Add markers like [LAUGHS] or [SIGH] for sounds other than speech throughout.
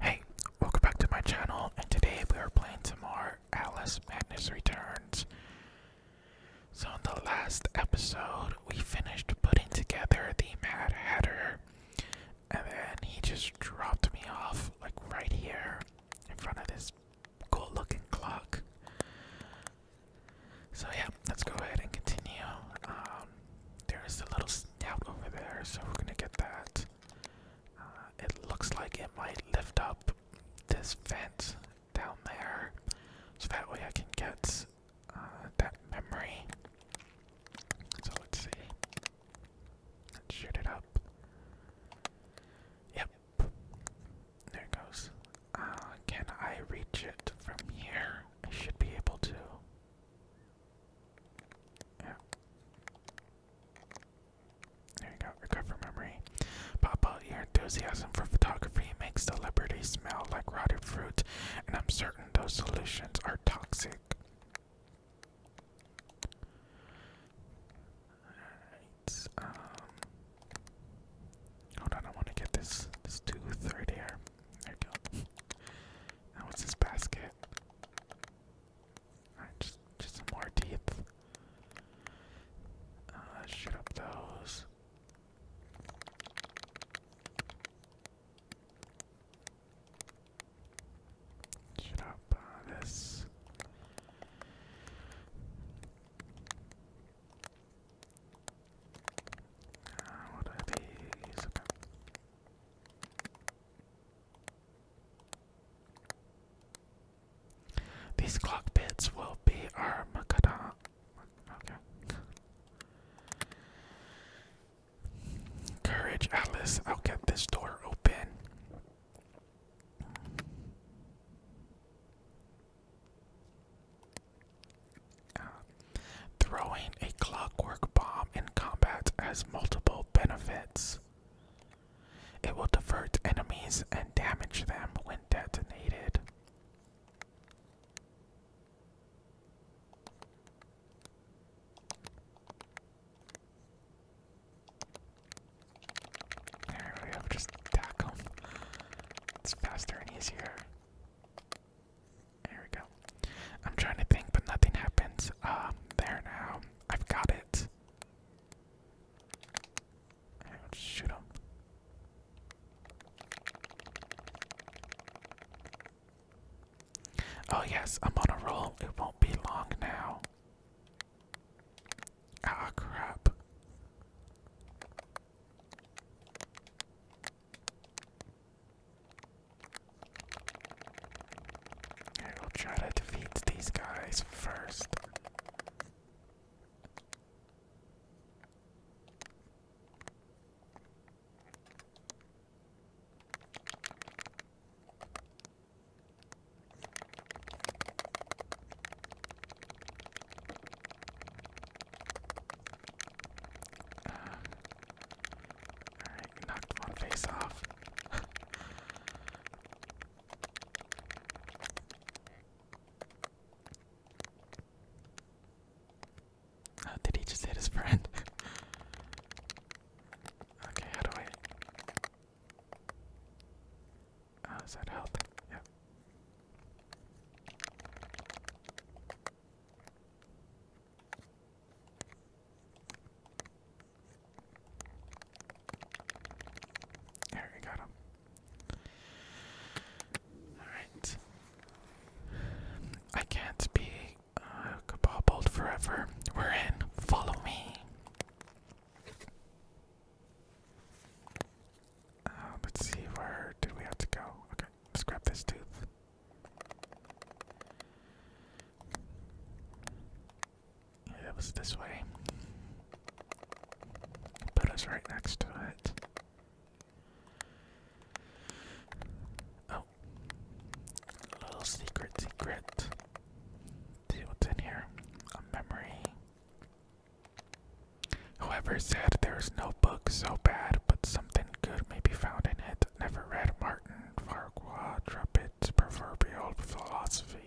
Hey, welcome back to my channel, and today we are playing some more Alice Madness Returns. So, in the last episode, we finished putting together the Mad Hatter, and then he just dropped me off, like right here, in front of this cool looking clock. So, yeah, let's go ahead and continue. Um, there is a little snout over there, so we're gonna get that. Uh, it looks like it might lift up this vent down there, so that way I can get uh, that memory. So let's see. Let's shoot it up. Yep. There it goes. Uh, can I reach it from here? I should be able to. Yeah. There you go. Recover memory. Pop out your enthusiasm for photography makes the smell like rotted fruit, and I'm certain those solutions are toxic. Alright, um, Hold on, I wanna get this this tooth right here. There you go. Now what's this basket? just, just some more teeth. Uh, shoot up those. Shoot up uh, this. Uh, what are these? These clock bits will be our Makata. Courage, Alice. I'll get this door open. throwing a clockwork bomb in combat has multiple benefits. It will divert enemies and damage them when detonated. There we go, just attack It's faster and easier. There we go. I'm trying to think, but nothing happens. Um, there now. I've got it. shoot him. Oh yes, I'm on a roll. It won't be long now. Ah crap. I will try to defeat these guys first. Alright, knocked one face off. [LAUGHS] oh, did he just hit his friend? [LAUGHS] okay, how do I. Oh, is that health? Yep. There we got him. Alright. I can't be kabobbled forever. We're in. Follow me. Uh, let's see, where did we have to go? Okay, let's grab this tooth. It was this way. Put us right next to it. Oh. little secret, secret. See what's in here. A memory. Whoever said there's no book so bad, but something good may be found in it never read Martin Farquhar Trippett's proverbial philosophy.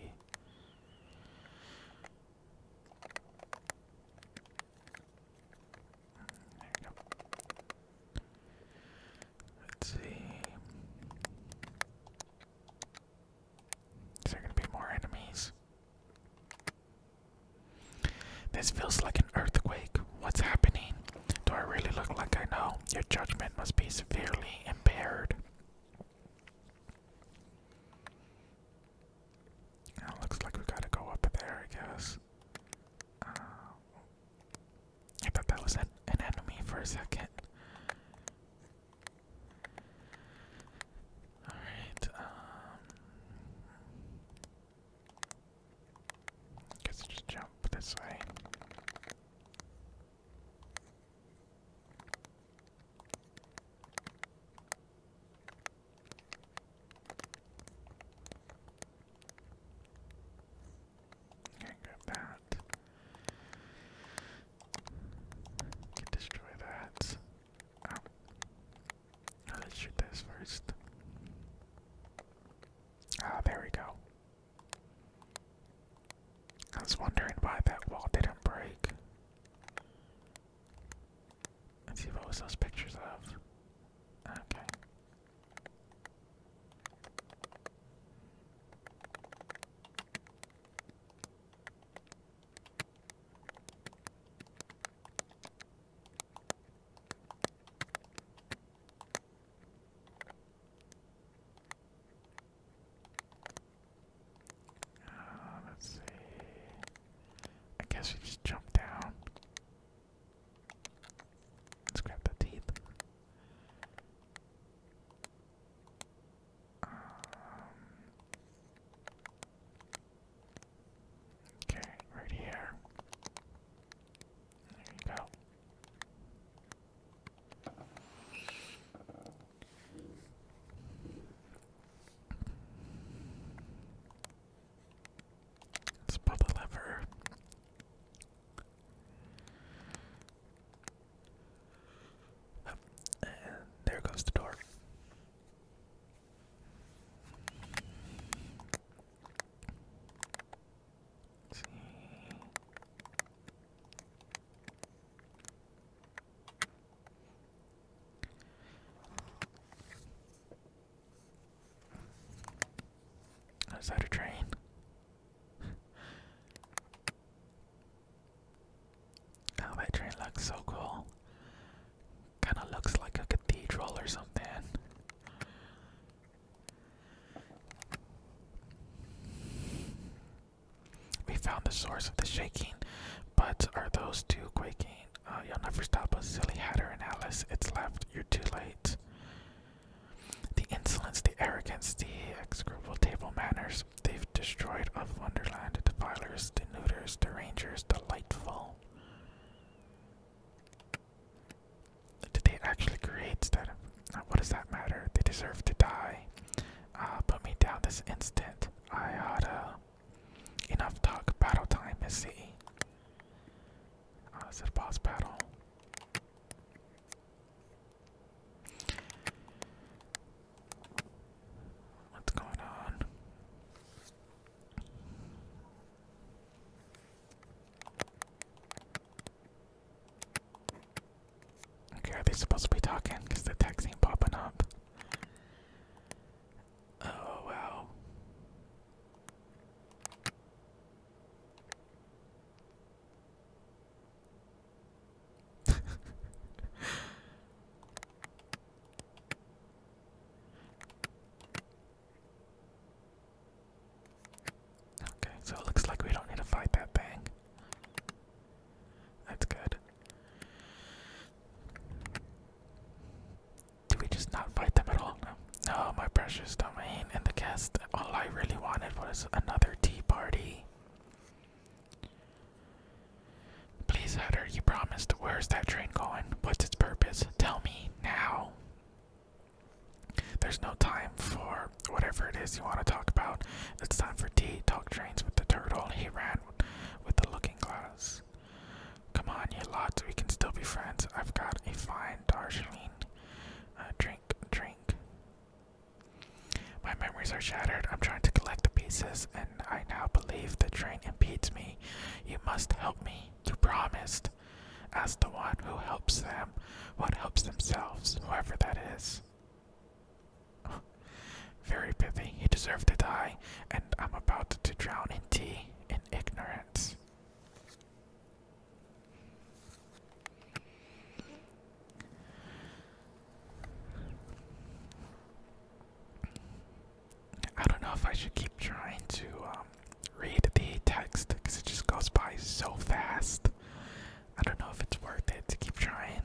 There you go. Let's see. Is there gonna be more enemies? This feels like an earthquake. What's happening? Do I really look like I know? Your judgment must be severely impaired. Now looks like we gotta go up there, I guess. Uh, I thought that was an, enemy for a second. Alright, um, Guess I just jump this way. Can't grab that. destroy that. Let's shoot this first. Ah, there we go. I was wondering why that wall didn't break. Let's see what was those pictures of. Okay. Uh, let's see. I guess we just jump down. Let's grab the teeth. Um, okay, right here. There you go pull the lever. and there goes the door let is that a train? [LAUGHS] oh, that train looks so cool. Kinda looks like a cathedral or something. We found the source of the shaking, but are those two quaking? Uh, you'll never stop us, silly Hatter and Alice. It's left. You're too late. The insolence, the arrogance, the execrable table manners. They've destroyed of Wonderland, the defilers, the neuters, rangers, delightful. Did they actually create that what does that matter? They deserve to die. Uh, put me down this instant. I oughta. Enough talk. Battle time is see. Uh, is it boss battle? What's going on? Okay, are they supposed to be talking? Because the text ain't popping up. Oh, wow. [LAUGHS] Okay, so it looks like we don't need to fight that thing. That's good. Do we just not fight them at all? No. No, my precious domain and the guest. All I really wanted was another tea party. Please, Hatter, you promised. Where's that train going? What's its purpose? Tell me now. There's no time for whatever it is you want to talk about. It's time for tea. Talk trains with the turtle. He ran with the looking glass. Come on, you lot. We can still be friends. I've got a fine Darjeeling. Uh, drink, drink. My memories are shattered. I'm trying to collect the pieces, and I now believe the train impedes me. You must help me. You promised. As the one who helps them, what helps themselves, whoever that is. [LAUGHS] Very pithy. He deserved to die, and I'm about to drown in tea in ignorance. I don't know if I should keep trying to um, read the text because it just goes by so fast. I don't know if it's worth it to keep trying.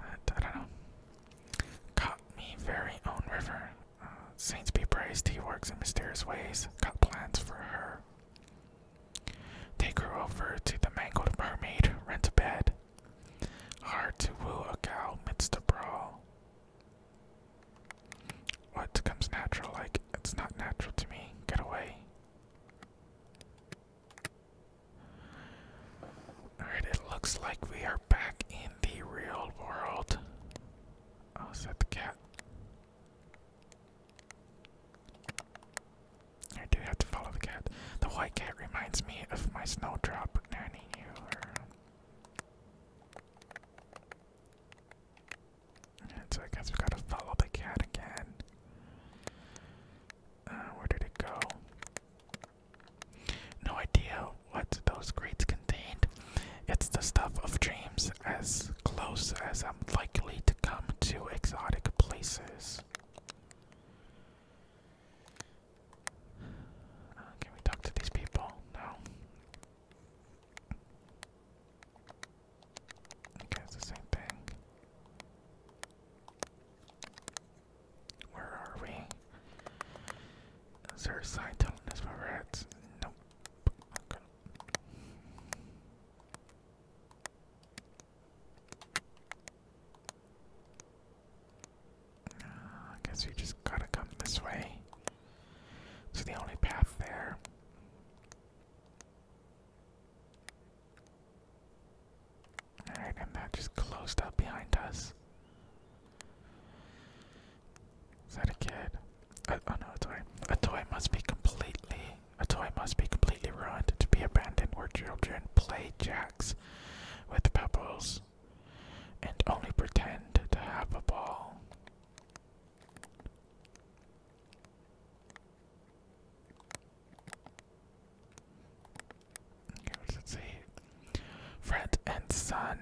I don't know. Caught me very own river. Uh, Saints be praised, he works in mysterious ways. Got plans for her. Take her over to the mangled mermaid, rent a bed. Hard to woo a cow midst a brawl. What comes natural like it's not natural to me. Get away. Alright, it looks like we are back in the real world. Oh, is that the cat? I do have to follow the cat. The white cat reminds me of my snowdrop nanny so I guess we gotta follow the cat again. Uh, where did it go? No idea what those crates contained. It's the stuff of dreams, as close as I'm likely to come to exotic places. Uh, can we talk to these people? No. Okay, the same thing. Where are we? Is there a sign telling us where we're at? Nope. Ah, I guess we just gotta come this way. It's the only path there and that just closed up behind us. Is that a kid? Uh, oh no, a toy. A toy must be completely. A toy must be completely ruined to be abandoned where children play jacks with pebbles and only pretend to have a ball. Okay, what does Friend and son.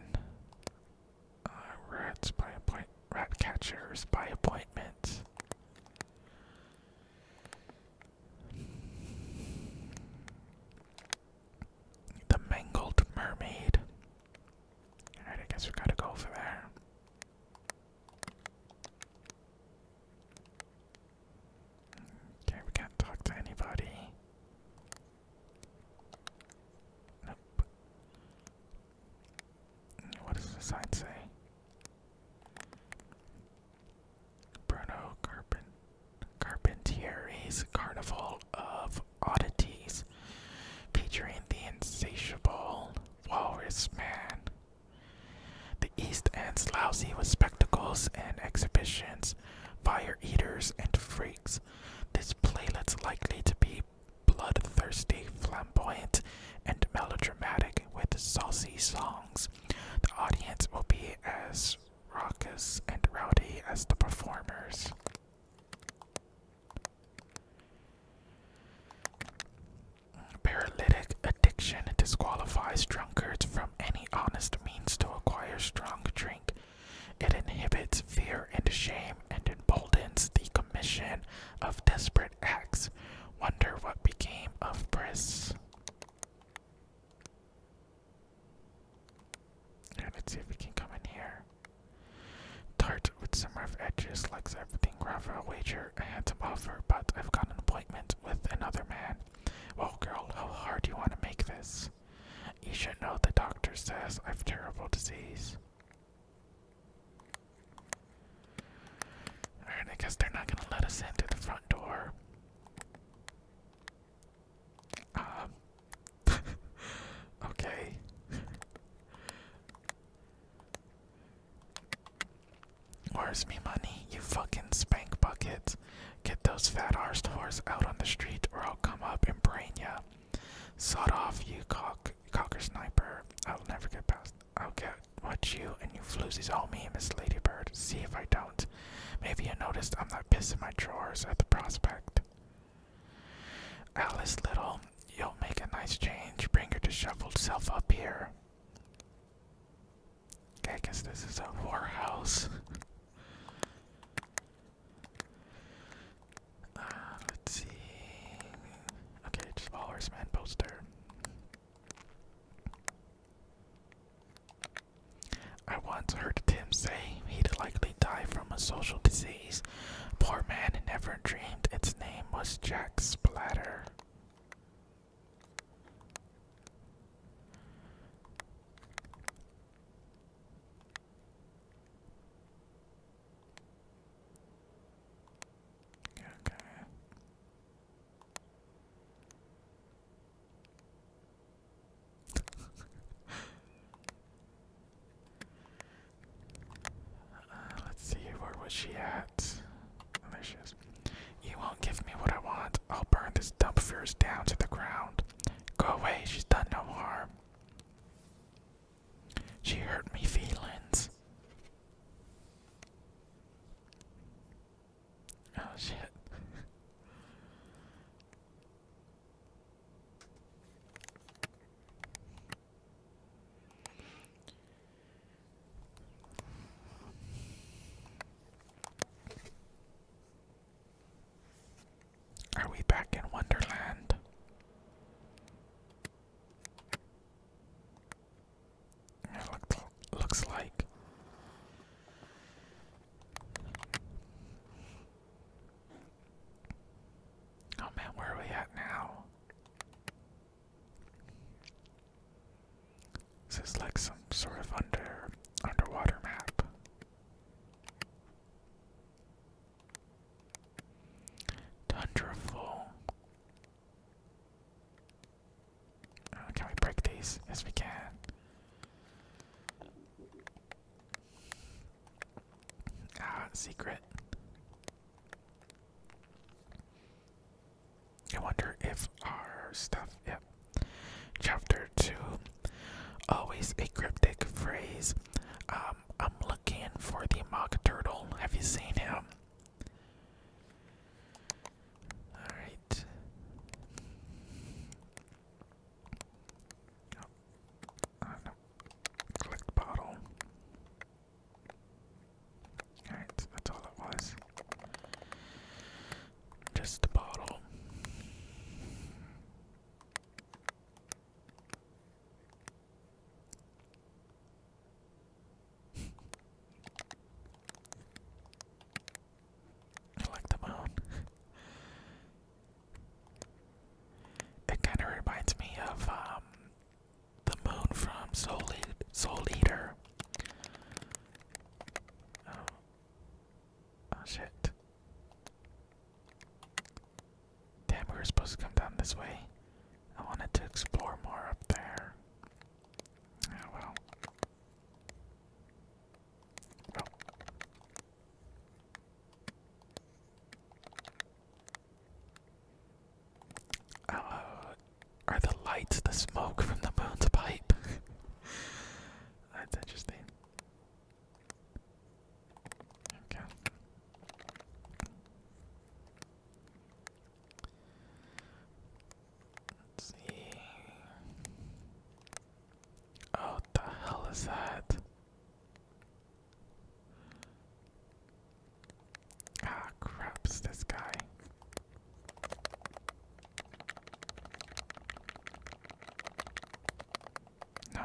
Uh, rats by appoint rat catchers by appointment. The mangled mermaid. I guess we gotta go over there. Okay, we can't talk to anybody. Nope. What does the sign say? Bruno Carpent Carpentieri's Carnival of Oddities, featuring the insatiable Walrus Man. The East End's lousy with spectacles and exhibitions, fire eaters and freaks. This playlet's likely to be bloodthirsty, flamboyant, and melodramatic with saucy songs. The audience will be as raucous and rowdy as the performers. Paralytic addiction disqualifies drunkards from any honest means to acquire strong drink. It inhibits fear and shame and emboldens the commission of desperate acts. Wonder what became of Briss. Let's see if we can come in here. Tart with some rough edges likes everything Rafa wager I had to offer, but I've got an appointment with another man. Well, girl, how hard do you want to make this? You should know the doctor says I've terrible disease. I guess they're not gonna let us in through the front door. Um. [LAUGHS] okay. Where's me money, you fucking spank bucket? Get those fat arse whores out on the street or I'll come up and brain ya. Sod off, you cocker sniper. I'll never get past. I'll get what you and you floozies all me, Miss Ladybird. See if I don't. Maybe you noticed I'm not pissing my drawers at the prospect. Alice Little, you'll make a nice change. Bring your disheveled self up here. Okay, I guess this is a warehouse. Uh, let's see. Okay, just all horseman poster. I once heard Tim say he'd likely die from a social disease. Poor man never dreamed its name was Jack Splatter. Okay. [LAUGHS] Uh, let's see, where was she at? there she is. You won't give me what I want. I'll burn this dump of down to the ground. Go away, she's done no harm. She hurt me feelings. Oh shit. Are we back in Wonderland? It looked, looks like. Oh man, where are we at now? This Is like some sort of under underwater map? Tundraful. Uh, can we break these? Yes, we can. Ah, secret. I wonder if our stuff, yep. Chapter 2 Always a cryptic phrase. Um, I'm looking for the mock turtle. Have you seen him? Alright. Oh. bottle. Alright, that's all it was. Just a bottle. I like the moon. it kind of reminds me of um, the moon from Soul, Soul Eater. Oh. Oh shit. Damn, we were supposed to come down this way. I wanted to explore more up there. Oh well. Well. Oh, are the lights the smoke from the moon's pipe? [LAUGHS] That's interesting. Okay. see. Oh, the hell is that? Ah, crap, this guy. No.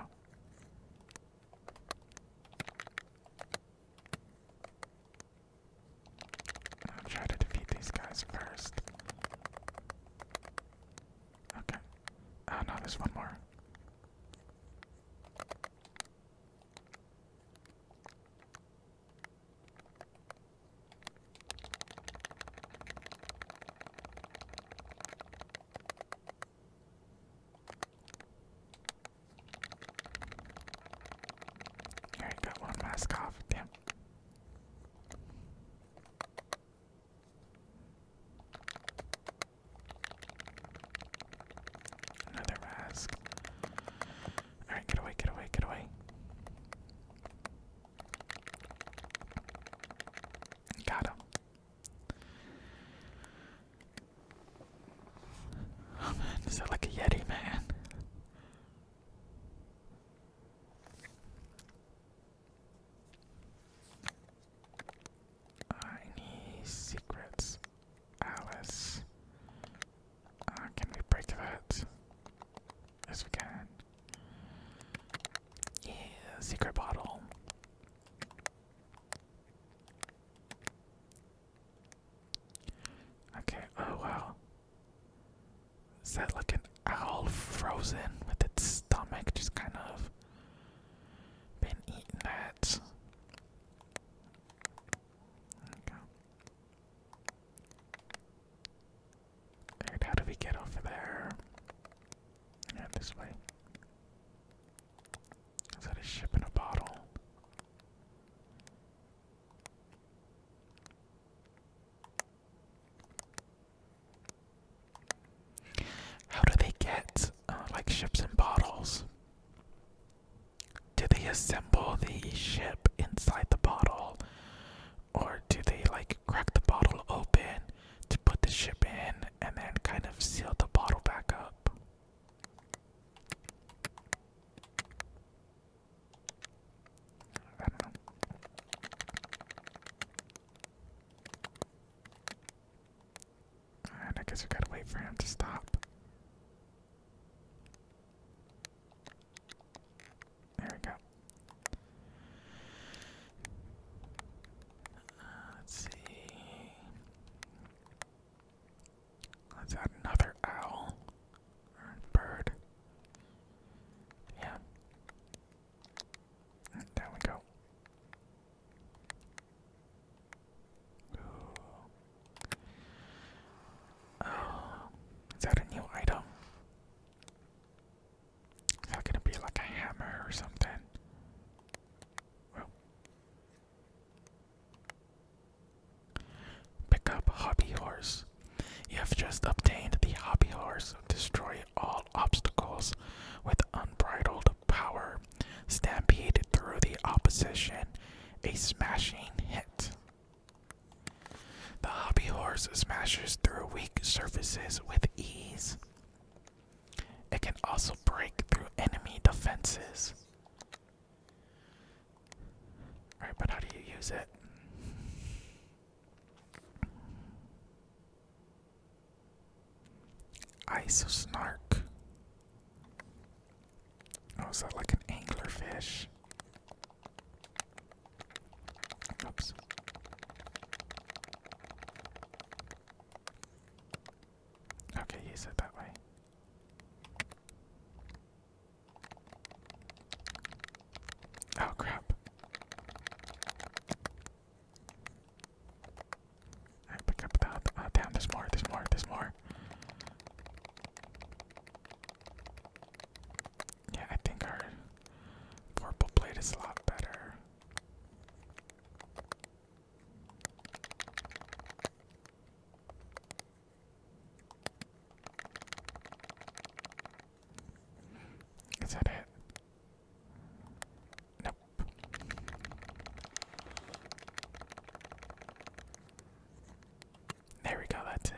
I'll try to defeat these guys first. Okay. Oh no, there's one more. I got one mask off, damn. Another mask. Alright, get away, get away, get away. Got Oh man, is that like a Yeti, man? I need secrets. Alice. Uh, can we break that? Yes, we can. Yeah, secret bottle. Okay, oh wow. Is that like an owl frozen with its stomach just kind of been eating that? how do we get over there? this way. Is that a ship in a bottle? How do they get uh, like ships in bottles? Do they assemble the ship inside the bottle? or do they like crack the bottle open to put the ship in and then kind of seal the bottle back up? I guess we gotta wait for him to stop. There we go. Uh, let's see. Let's add another owl or bird. Yeah. Mm, there we go. Oh, is that a new item? Is that gonna be like a hammer or something? Well, pick up hobby horse. You have just obtained the hobby horse. Destroy all obstacles with unbridled power. Stampede through the opposition. A smashing hit. The hobby horse smashes through weak surfaces with ease. It can also break through enemy defenses. Alright, but how do you use it? Ice snark. Oh, is that like an anglerfish? Oops. Okay, he said that way. Oh crap. I pick up that ah, damn there's more, there's more, there's more. Yeah, I think our purple blade is a lot better. Is that it? Nope. There we go, that's it.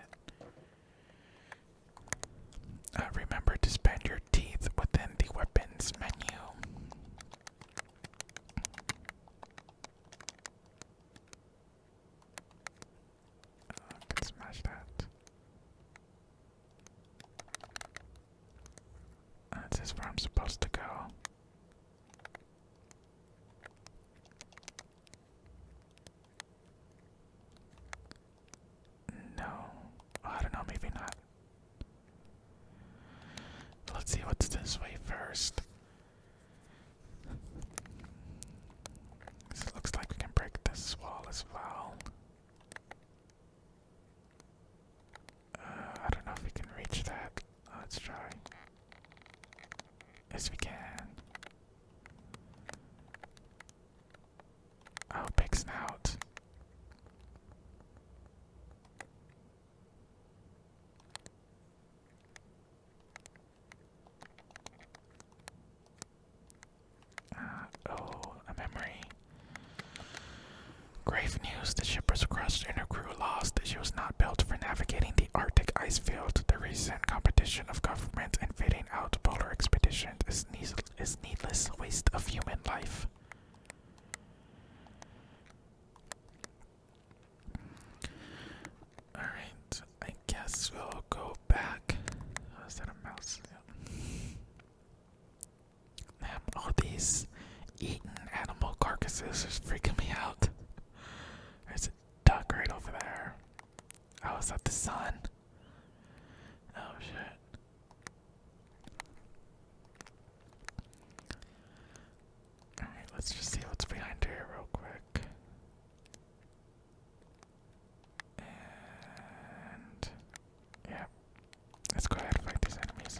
Uh, remember to spend your teeth within the weapons menu. Oh, smash that. Uh, this is where I'm supposed to go. No, I don't know, maybe not. Let's see what's this way first. looks like we can break this wall as well. Uh, I don't know if we can reach that. Let's try. Yes, we can. Oh, big snout. Uh, oh, a memory. Grave news, the ship was crushed and her crew lost. She was not built for navigating the Arctic ice field, the recent competition of government and fitting out polar expeditions punishment is, needless waste of human life. Alright, I guess we'll go back. Oh, that a mouse? Yeah. all these eaten animal carcasses is freaking me out. There's a duck right over there. Oh, is that the sun? Oh shit. Alright, let's just see what's behind here real quick. And yeah. Let's go ahead and fight these enemies.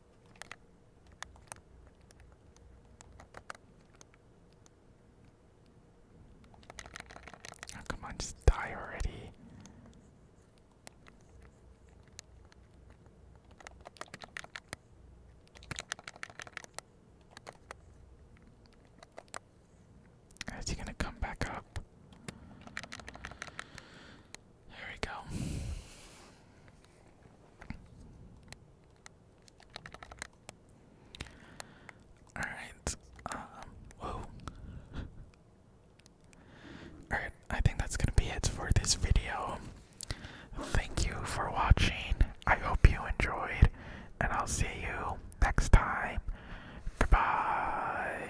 Oh, come on, just die already. Is he gonna come back up? There we go. All right. Um. Whoa. All right. I think that's gonna be it for this video. Thank you for watching. I hope you enjoyed, and I'll see you next time. Goodbye.